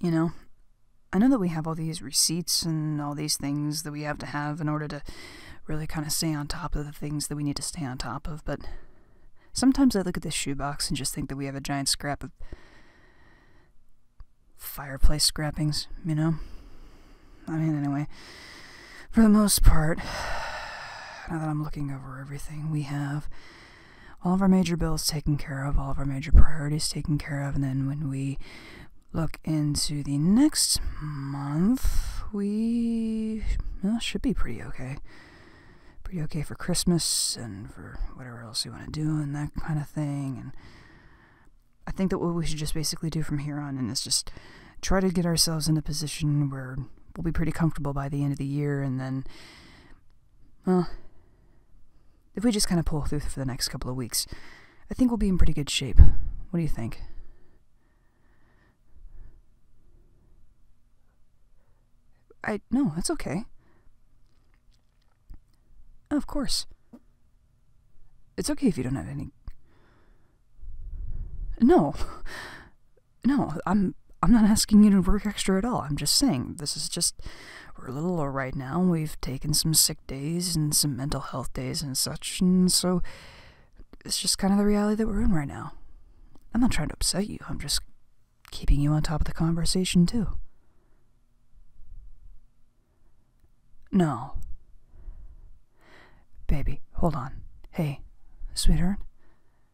You know, I know that we have all these receipts and all these things that we have to have in order to really kind of stay on top of the things that we need to stay on top of, but sometimes I look at this shoebox and just think that we have a giant scrap of fireplace scrappings, you know? I mean, anyway, for the most part, now that I'm looking over everything, we have all of our major bills taken care of, all of our major priorities taken care of, and then when we look into the next month, we should be pretty okay. Pretty okay for Christmas and for whatever else we want to do and that kind of thing. And I think that what we should just basically do from here on in is just try to get ourselves in a position where we'll be pretty comfortable by the end of the year and then, well, if we just kind of pull through for the next couple of weeks, I think we'll be in pretty good shape. What do you think? I. No, that's okay. Oh, of course. It's okay if you don't have any. No. No, I'm I'm not asking you to work extra at all. I'm just saying this is just we're a little low right now. We've taken some sick days and some mental health days and such, and so it's just kind of the reality that we're in right now. I'm not trying to upset you. I'm just keeping you on top of the conversation too. No. Baby, hold on. Hey, sweetheart.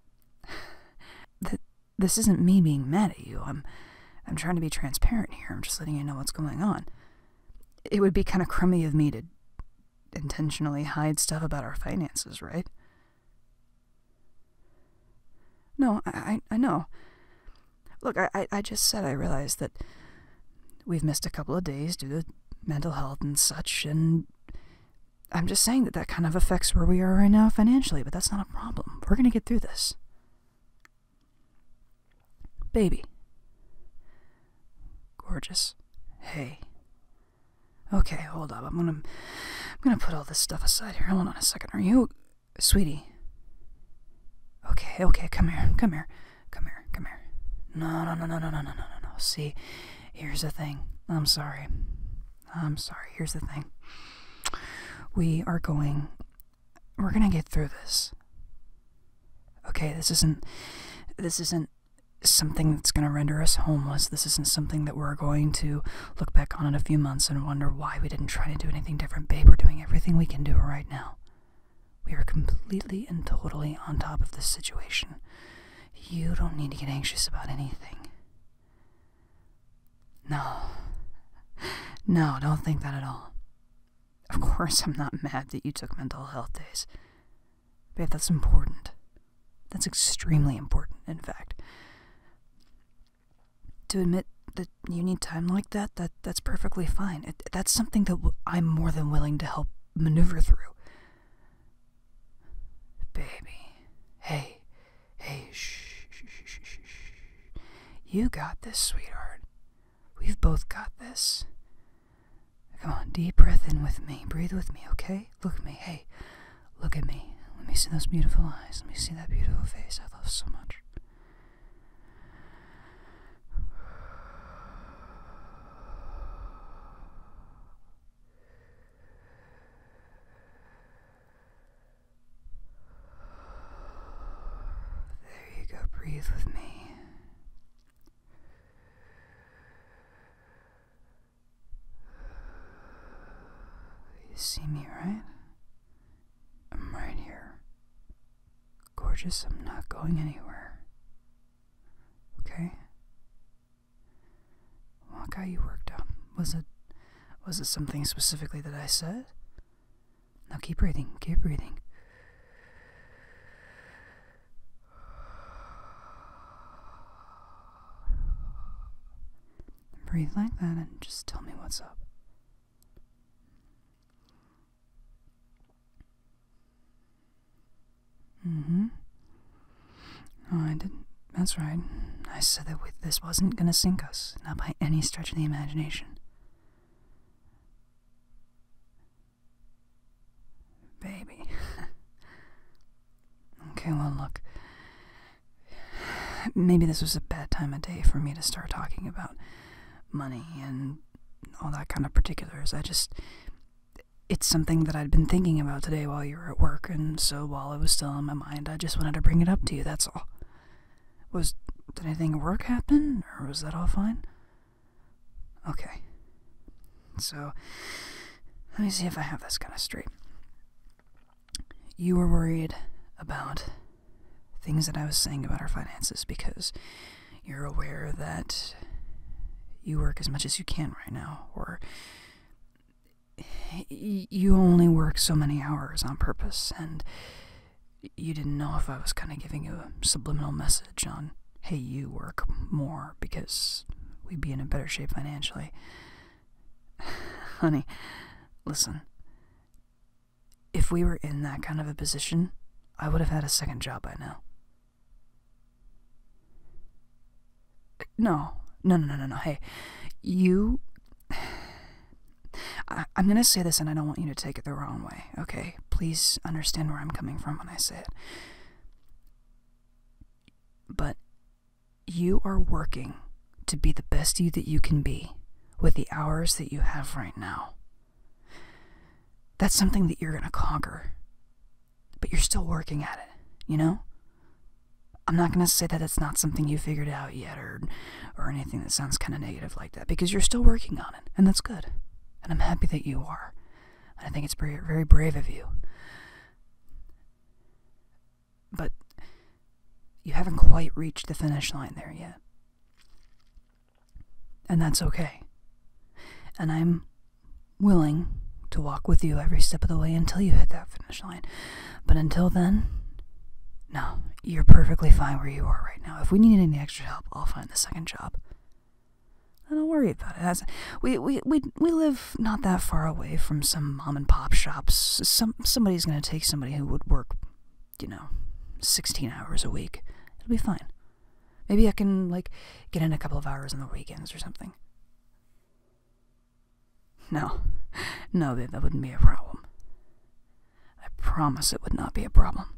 Th this isn't me being mad at you. I'm I'm trying to be transparent here. I'm just letting you know what's going on. It would be kind of crummy of me to intentionally hide stuff about our finances, right? No, I, I, know. Look, I, I just said I realized that we've missed a couple of days due to mental health and such, and I'm just saying that that kind of affects where we are right now financially, but that's not problem. We're going to get through this. Baby. Gorgeous. Hey. Okay, hold up. I'm gonna I'm gonna put all this stuff aside here. Hold on a second. Are you sweetie? Okay, okay, come here, come here, come here, come here. no no no no no no no no. See, here's the thing. I'm sorry. I'm sorry, here's the thing. We are going. We're gonna get through this. Okay, this isn't. This isn't something that's gonna render us homeless. This isn't something that we're going to look back on in a few months and wonder why we didn't try to do anything different. Babe, we're doing everything we can do right now. We are completely and totally on top of this situation. You don't need to get anxious about anything. No. No, don't think that at all. Of course, I'm not mad that you took mental health days. Babe, that's important. That's extremely important, in fact. To admit that you need time like that, that that's perfectly fine. that's something that i I'm more than willing to help maneuver through. Baby, hey, Hey, shh, shh, shh, shh, shh. You got this, sweetheart. We've both got this. Come on, deep breath in with me. Breathe with me, okay? Look at me. Hey, look at me. Let me see those beautiful eyes. Let me see that beautiful face I love so much. There you go, breathe with me. You see me, right? I'm right here. Gorgeous, I'm not going anywhere. Okay? Look guy you worked up. Was it was it something specifically that I said? Now keep breathing, keep breathing. Breathe like that and just tell me what's up. Mm hmm. I didn't. That's right. I said that this wasn't going to sink us, not by any stretch of the imagination. Baby. okay, well, look. Maybe this was a bad time of day for me to start talking about money and all that kind of particulars. I just. It's something that I'd been thinking about today while you were at work, and so while it was still on my mind, I just wanted to bring it up to you, that's all. Was. did anything work happen, or was that all fine? Okay. So, let me see if I have this kind of straight. You were worried about things that I was saying about our finances because you're aware that you work as much as you can right now, or you only work so many hours on purpose, and you didn't know if I was kind of giving you a subliminal message on, hey, you work more because we'd be in a better shape financially. Honey, listen. If we were in that kind of a position, I would have had a second job by now. No, no, no, no, no, Hey, you. I, am gonna say this and I don't want you to take it the wrong way, okay? Please understand where I'm coming from when I say it. But you are working to be the best you that you can be with the hours that you have right now. That's something that you're gonna conquer, but you're still working at it, you know? I'm not going to say that it's not something you figured out yet or, or anything that sounds kind of negative like that because you're still working on it, and that's good. And I'm happy that you are. I think it's very, very brave of you. But you haven't quite reached the finish line there yet. And that's okay. And I'm willing to walk with you every step of the way until you hit that finish line. But until then, no, you're perfectly fine where you are right now. If we need any extra help, I'll find the second job. I don't worry about it. That's, we, we, we, we live not that far away from some mom and pop shops. Some, somebody's going to take somebody who would work, you know, 16 hours a week. It'll be fine. Maybe I can, like, get in a couple of hours on the weekends or something. No, no, that, that wouldn't be a problem. I promise it would not be a problem.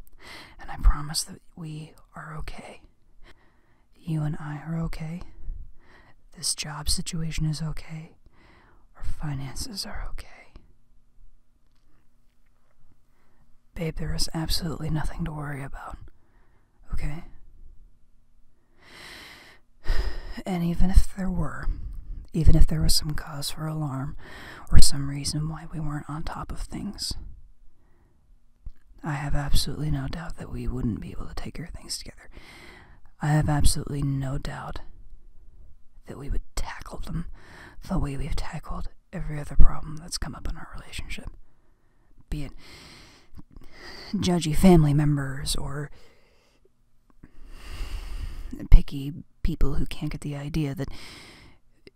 And I promise that we are okay. You and I are okay. This job situation is okay. Our finances are okay. Babe, there is absolutely nothing to worry about. Okay? And even if there were, even if there was some cause for alarm or some reason why we weren't on top of things, I have absolutely no doubt that we wouldn't be able to take our things together. I have absolutely no doubt that we would tackle them the way we've tackled every other problem that's come up in our relationship. Be it judgy family members or picky people who can't get the idea that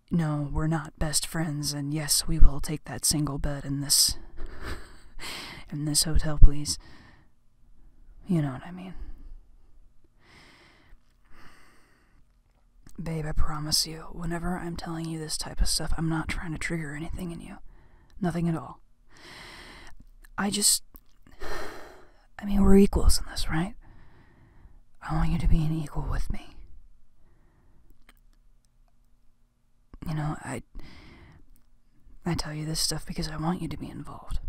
no, we're not best friends, and yes, we will take that single bed in this. in this hotel, please. You know what I mean. Babe, I promise you, whenever I'm telling you this type of stuff, I'm not trying to trigger anything in you. Nothing at all. I just. I mean, we're equals in this, right? I want you to be an equal with me. You know, I I tell you this stuff because I want you to be involved.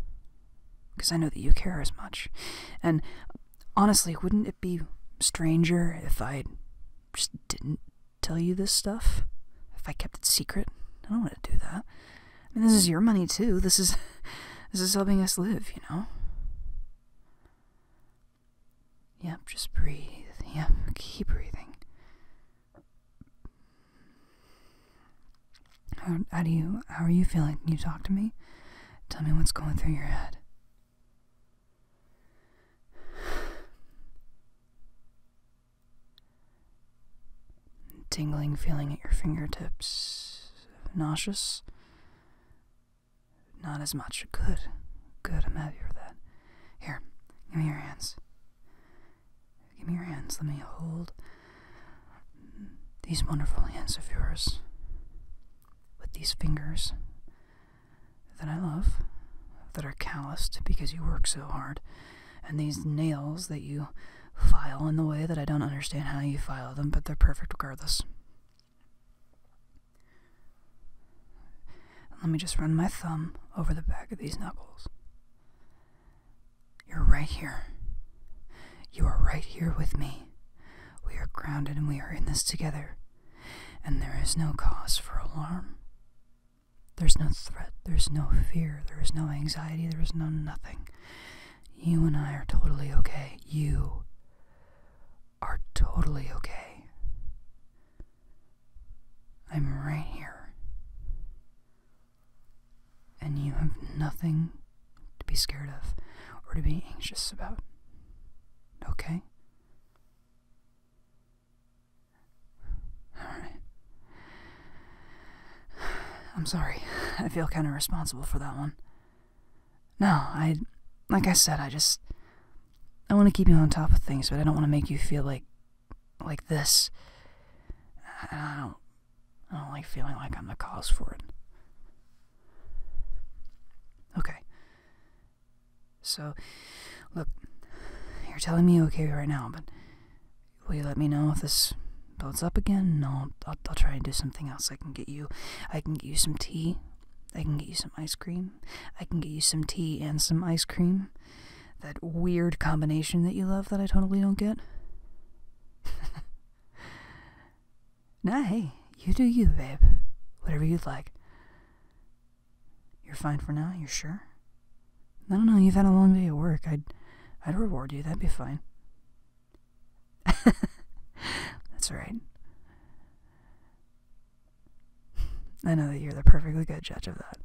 Because I know that you care as much. And honestly, wouldn't it be stranger if I just didn't tell you this stuff? If I kept it secret? I don't want to do that. I mean, this is your money too. This is this is helping us live, you know. Yep, just breathe. Yep, keep breathing. how do you how are you feeling? Can you talk to me? Tell me what's going through your head tingling feeling at your fingertips. Nauseous? Not as much. Good. Good. I'm happy with that. Here, give me your hands. Give me your hands. Let me hold these wonderful hands of yours with these fingers that I love, that are calloused because you work so hard and these nails that you file in the way that I don't understand how you file them, but they're perfect regardless. Let me just run my thumb over the back of these knuckles. You're right here. You are right here with me. We are grounded and we are in this together. And there is no cause for alarm. There's no threat. There's no fear. There is no anxiety. There is no nothing. You and I are totally okay. You are totally okay. I'm right here. And you have nothing to be scared of or to be anxious about. Okay? Alright. I'm sorry. I feel kind of responsible for that one. No, I. Like I said, I just. I want to keep you on top of things, but I don't want to make you feel like. like this. I don't. I don't like feeling like I'm the cause for it. Okay. So, look, you're telling me okay right now, but Will you let me know if this builds up again? No, I'll, try and do something else. I can get you, I can get you some tea. I can get you some ice cream. I can get you some tea and some ice cream. That weird combination that you love that I totally don't get. nah, hey, you do you, babe. Whatever you'd like. You're fine for now, you're sure? I don't know, you've had a long day at work. I'd I'd reward you, that'd be fine. That's right. I know that you're the perfectly good judge of that.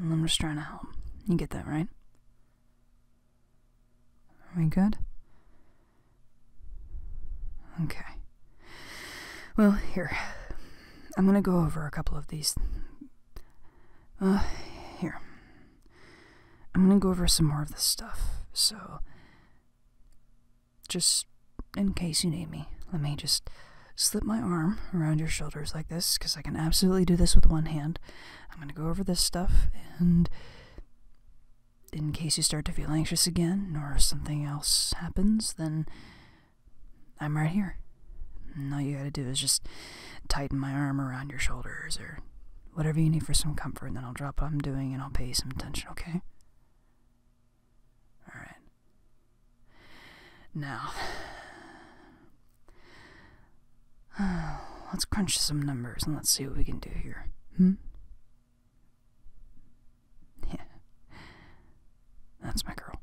I'm just trying to help. You get that, right? Are we good? Okay. Well, here. I'm gonna go over a couple of these. Uh, here. I'm gonna go over some more of this stuff, so just in case you need me, let me just slip my arm around your shoulders like this, because I can absolutely do this with one hand. I'm gonna go over this stuff, and in case you start to feel anxious again or something else happens, then I'm right here. And all you gotta do is just tighten my arm around your shoulders or whatever you need for some comfort, and then I'll drop what I'm doing and I'll pay you some attention, okay? Alright. Now, let's crunch some numbers and let's see what we can do here. Hmm? Yeah. That's my girl.